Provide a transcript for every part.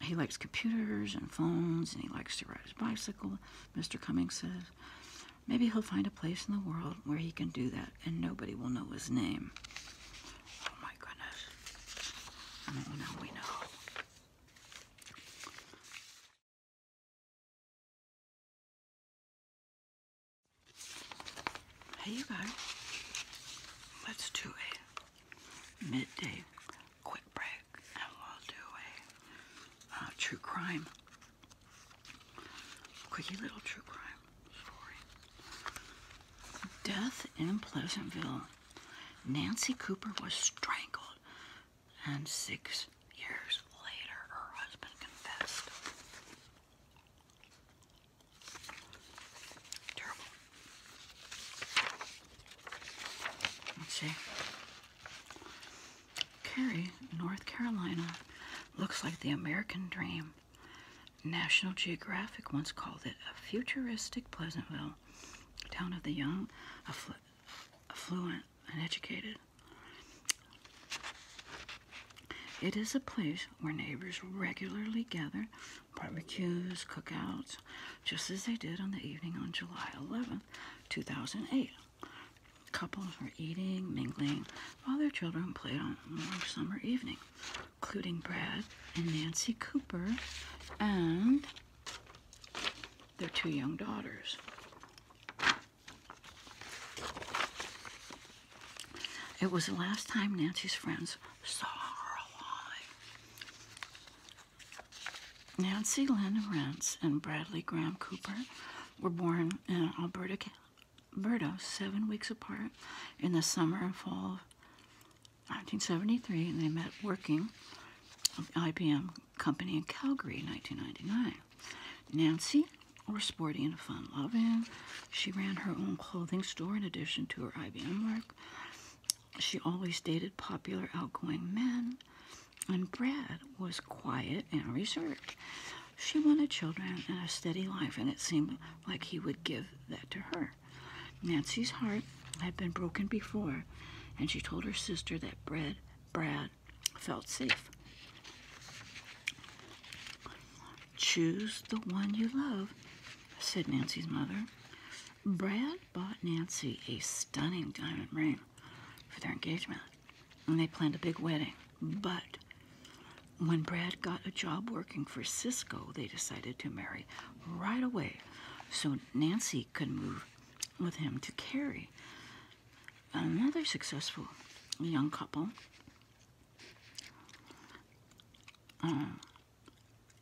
He likes computers and phones, and he likes to ride his bicycle, Mr. Cummings says. Maybe he'll find a place in the world where he can do that, and nobody will know his name. Oh my goodness. now we know. Hey, you guys. Let's do a midday quick break and we'll do a true crime, quickie little true crime Death in Pleasantville. Nancy Cooper was strangled, and six years later, her husband confessed. Terrible. Let's see. Cary, North Carolina, looks like the American dream. National Geographic once called it a futuristic Pleasantville, town of the young, affluent, and educated. It is a place where neighbors regularly gather barbecues, cookouts, just as they did on the evening on July eleventh, two 2008. Couples were eating, mingling, while their children played on a warm summer evening, including Brad and Nancy Cooper and their two young daughters. It was the last time Nancy's friends saw her alive. Nancy Lynn Rentz and Bradley Graham Cooper were born in Alberta, seven weeks apart in the summer and fall of 1973, and they met working at the IBM company in Calgary in 1999. Nancy was sporty and fun-loving. She ran her own clothing store in addition to her IBM work. She always dated popular, outgoing men, and Brad was quiet and reserved. She wanted children and a steady life, and it seemed like he would give that to her. Nancy's heart had been broken before, and she told her sister that Brad, Brad felt safe. Choose the one you love said Nancy's mother. Brad bought Nancy a stunning diamond ring for their engagement, and they planned a big wedding. But when Brad got a job working for Cisco, they decided to marry right away so Nancy could move with him to Cary. Another successful young couple. Uh,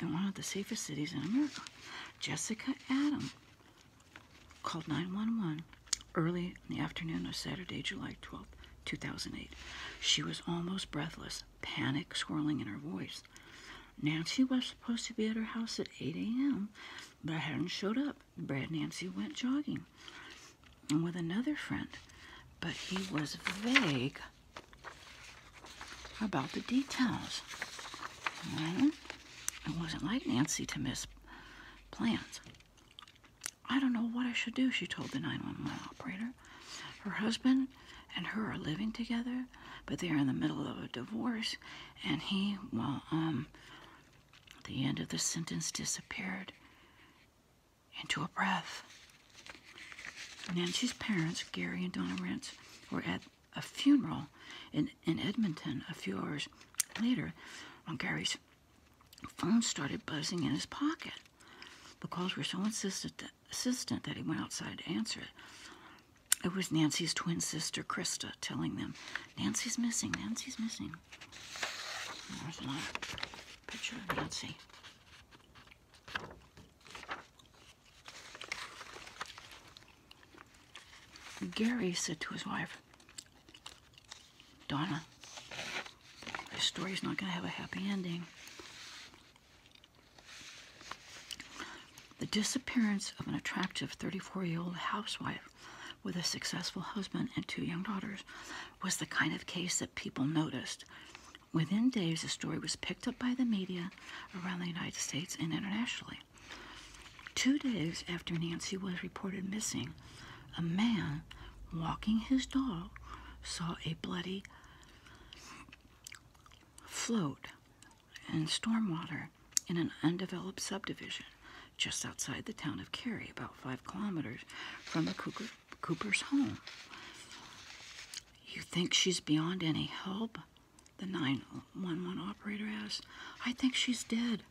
in one of the safest cities in America. Jessica Adam called 911 early in the afternoon of Saturday, July 12, 2008. She was almost breathless, panic swirling in her voice. Nancy was supposed to be at her house at 8 a.m., but I hadn't showed up. Brad and Nancy went jogging and with another friend, but he was vague about the details. Right? It wasn't like Nancy to miss plans. I don't know what I should do, she told the 911 operator. Her husband and her are living together, but they are in the middle of a divorce, and he, well, um, the end of the sentence disappeared into a breath. Nancy's parents, Gary and Donna Rentz, were at a funeral in, in Edmonton a few hours later when Gary's phone started buzzing in his pocket. The calls were so insistent that, insistent that he went outside to answer it. It was Nancy's twin sister, Krista, telling them, Nancy's missing, Nancy's missing. There's a picture of Nancy. Gary said to his wife, Donna, this story's not going to have a happy ending. The disappearance of an attractive 34 year old housewife with a successful husband and two young daughters was the kind of case that people noticed Within days, the story was picked up by the media around the United States and internationally. Two days after Nancy was reported missing, a man walking his dog saw a bloody float in stormwater in an undeveloped subdivision just outside the town of Cary, about five kilometers from the Cougar Cooper's home. You think she's beyond any help? The 911 operator asked. I think she's dead.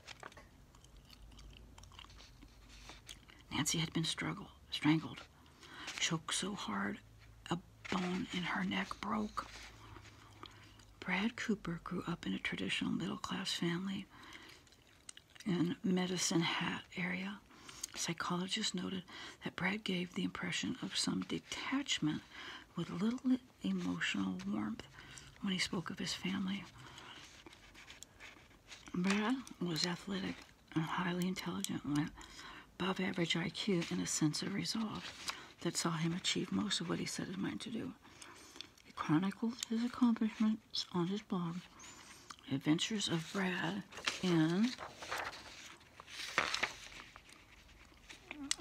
Nancy had been strangled, choked so hard a bone in her neck broke. Brad Cooper grew up in a traditional middle class family in medicine hat area. Psychologists noted that Brad gave the impression of some detachment with little emotional warmth when he spoke of his family. Brad was athletic and highly intelligent, with above average IQ and a sense of resolve that saw him achieve most of what he set his mind to do. He chronicled his accomplishments on his blog, Adventures of Brad in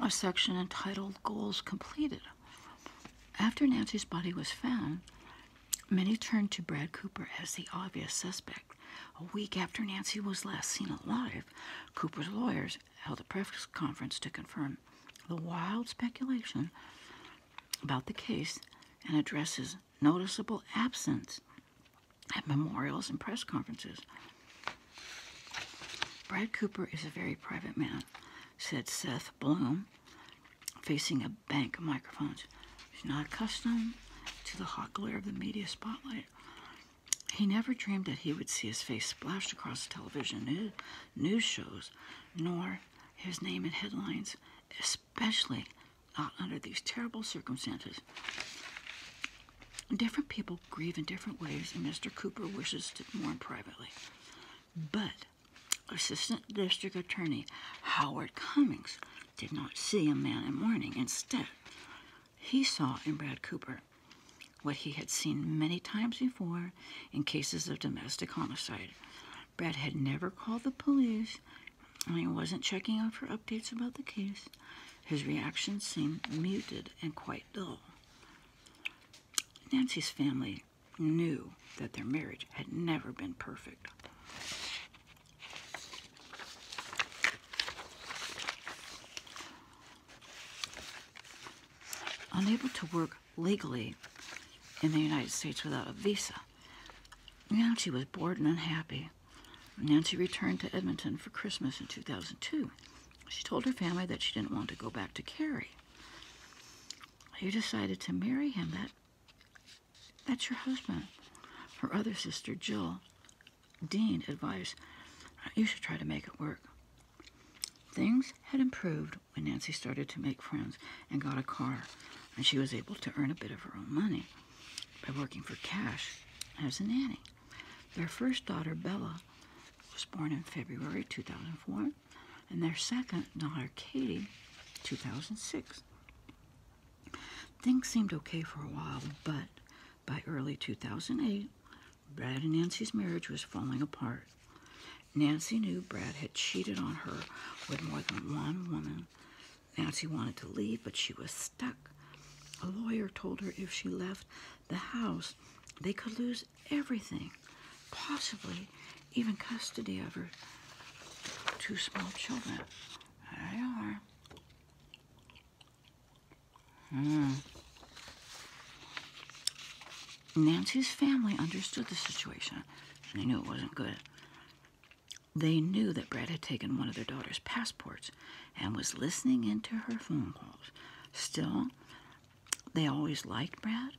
a section entitled Goals Completed. After Nancy's body was found, many turned to Brad Cooper as the obvious suspect. A week after Nancy was last seen alive, Cooper's lawyers held a press conference to confirm the wild speculation about the case and addresses noticeable absence at memorials and press conferences. Brad Cooper is a very private man, said Seth Bloom, facing a bank of microphones. He's not accustomed to the hot glare of the media spotlight. He never dreamed that he would see his face splashed across television news shows, nor his name in headlines, especially not under these terrible circumstances. Different people grieve in different ways, and Mr. Cooper wishes to mourn privately. But Assistant District Attorney Howard Cummings did not see a man in mourning. Instead, he saw in Brad Cooper what he had seen many times before in cases of domestic homicide Brad had never called the police, and he wasn't checking out for updates about the case. His reaction seemed muted and quite dull. Nancy's family knew that their marriage had never been perfect. Unable to work legally in the United States without a visa. Nancy was bored and unhappy. Nancy returned to Edmonton for Christmas in 2002. She told her family that she didn't want to go back to Carrie. You decided to marry him. That, that's your husband. Her other sister, Jill, Dean, advised, you should try to make it work. Things had improved when Nancy started to make friends and got a car, and she was able to earn a bit of her own money by working for cash as a nanny. Their first daughter, Bella, was born in February 2004, and their second daughter, Katie, 2006. Things seemed okay for a while, but by early 2008, Brad and Nancy's marriage was falling apart. Nancy knew Brad had cheated on her with more than one woman. Nancy wanted to leave, but she was stuck. A lawyer told her if she left the house, they could lose everything, possibly even custody of her two small children. There they are. Mm. Nancy's family understood the situation and they knew it wasn't good. They knew that Brad had taken one of their daughter's passports and was listening into her phone calls. Still, they always liked Brad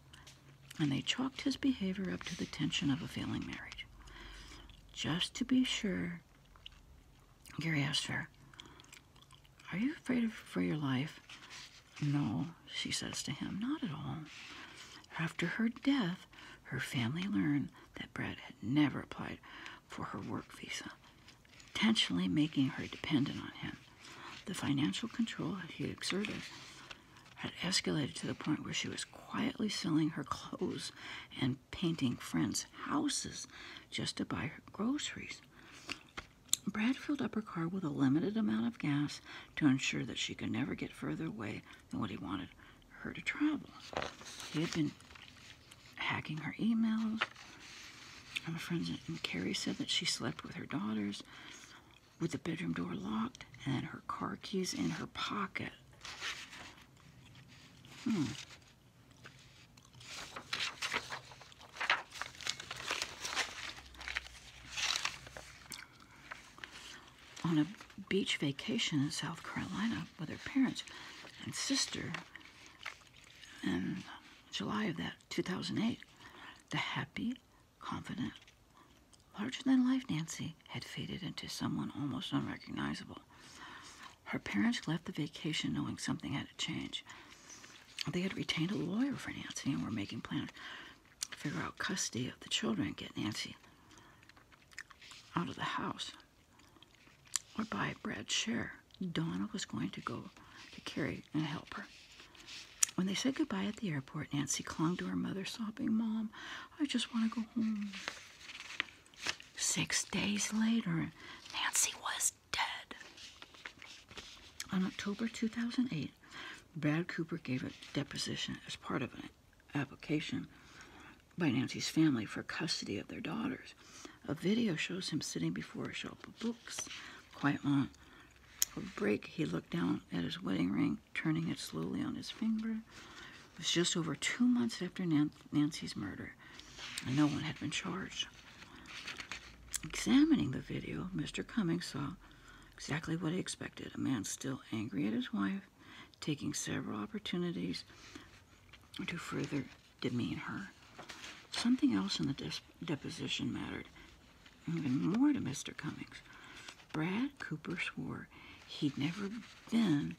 and they chalked his behavior up to the tension of a failing marriage. Just to be sure, Gary asked her, are you afraid of, for your life? No, she says to him, not at all. After her death, her family learned that Brad had never applied for her work visa, intentionally making her dependent on him. The financial control he exerted had escalated to the point where she was quietly selling her clothes and painting friends' houses just to buy her groceries. Brad filled up her car with a limited amount of gas to ensure that she could never get further away than what he wanted her to travel. He had been hacking her emails. My friend Carrie said that she slept with her daughters with the bedroom door locked and her car keys in her pocket. Hmm on a beach vacation in South Carolina with her parents and sister in July of that 2008. The happy, confident, larger than life Nancy had faded into someone almost unrecognizable. Her parents left the vacation knowing something had to change. They had retained a lawyer for Nancy and were making plans to figure out custody of the children get Nancy out of the house or buy Brad's share. Donna was going to go to Carrie and help her. When they said goodbye at the airport, Nancy clung to her mother, sobbing, Mom, I just want to go home. Six days later, Nancy was dead. On October 2008, Brad Cooper gave a deposition as part of an application by Nancy's family for custody of their daughters. A video shows him sitting before a shelf of books, quite long. a break, he looked down at his wedding ring, turning it slowly on his finger. It was just over two months after Nancy's murder no one had been charged. Examining the video, Mr. Cummings saw exactly what he expected a man still angry at his wife, taking several opportunities to further demean her. Something else in the deposition mattered even more to Mr. Cummings. Brad Cooper swore he'd never been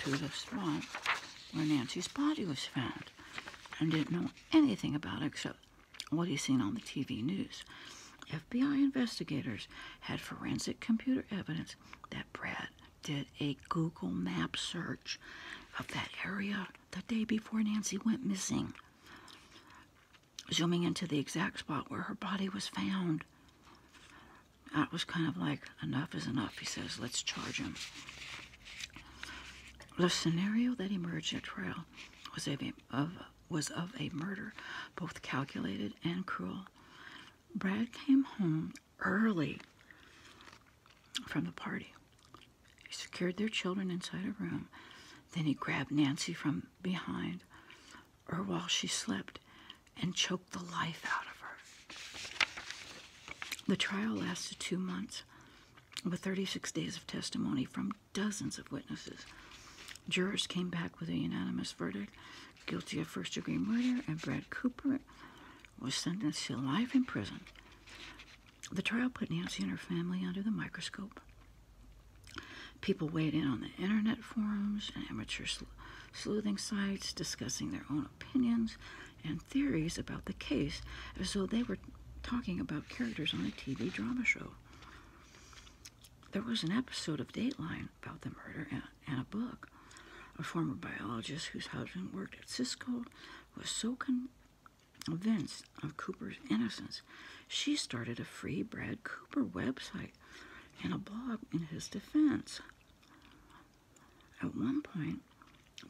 to the spot where Nancy's body was found. I didn't know anything about it except what he's seen on the TV news. FBI investigators had forensic computer evidence that Brad did a Google map search of that area the day before Nancy went missing, zooming into the exact spot where her body was found. That was kind of like, enough is enough, he says, let's charge him. The scenario that emerged at trial was of, a, murder, both calculated and cruel. Brad came home early from the party. He secured their children inside a room. Then he grabbed Nancy from behind her while she slept and choked the life out of her. The trial lasted two months. With 36 days of testimony from dozens of witnesses. Jurors came back with a unanimous verdict guilty of first degree murder, and Brad Cooper was sentenced to life in prison. The trial put Nancy and her family under the microscope. People weighed in on the internet forums and amateur sleuthing sites discussing their own opinions and theories about the case as though they were talking about characters on a TV drama show. There was an episode of Dateline about the murder and, a book. A former biologist whose husband worked at Cisco was so convinced of Cooper's innocence, she started a free Brad Cooper website and a blog in his defense. At one point,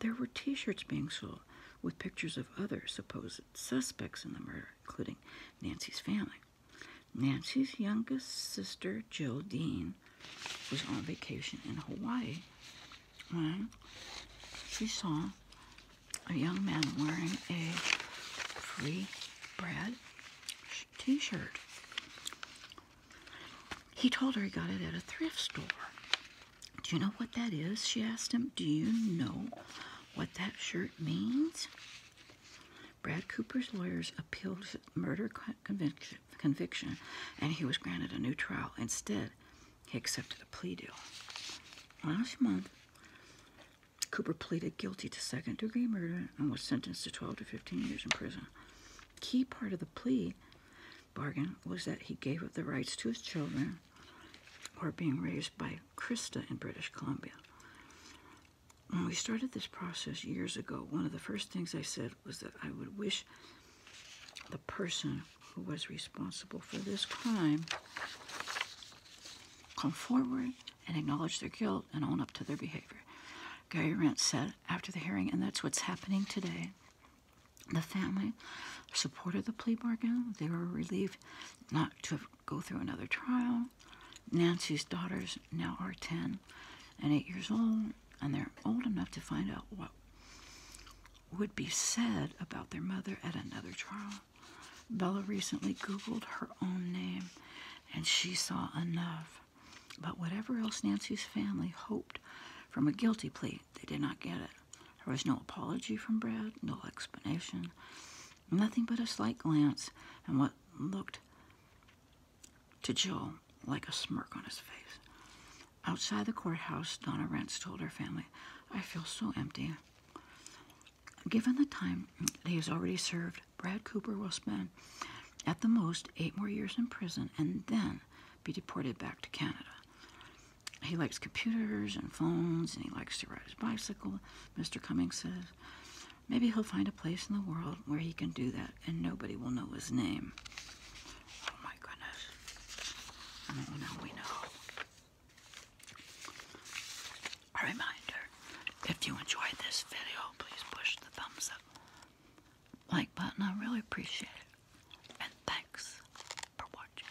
there were t shirts being sold with pictures of other supposed suspects in the murder, including Nancy's family. Nancy's youngest sister, Jill Dean, was on vacation in Hawaii when she saw a young man wearing a free bread t shirt. He told her he got it at a thrift store. Do you know what that is? She asked him. Do you know what that shirt means? Brad Cooper's lawyers appealed his murder conviction, and he was granted a new trial. Instead, he accepted a plea deal. Last month, Cooper pleaded guilty to second degree murder and was sentenced to 12 to 15 years in prison. Key part of the plea bargain was that he gave up the rights to his children who are being raised by Krista in British Columbia. When we started this process years ago, one of the first things I said was that I would wish the person who was responsible for this crime come forward and acknowledge their guilt and own up to their behavior. Gary Rent said after the hearing, and that's what's happening today. The family supported the plea bargain. They were relieved not to go through another trial. Nancy's daughters now are 10 and 8 years old, and they're old enough to find out what would be said about their mother at another trial. Bella recently Googled her own name, and she saw enough. But whatever else Nancy's family hoped from a guilty plea, they did not get it. There was no apology from Brad, no explanation, nothing but a slight glance and what looked to Joe like a smirk on his face. Outside the courthouse, Donna Rentz told her family, I feel so empty. Given the time that he has already served, Brad Cooper will spend at the most eight more years in prison, and then be deported back to Canada. He likes computers and phones, and he likes to ride his bicycle, Mr. Cummings says. Maybe he'll find a place in the world where he can do that and nobody will know his name. Oh my goodness. Oh, now we know. A reminder, if you enjoyed this video, please push the thumbs up like button. I really appreciate it. And thanks for watching.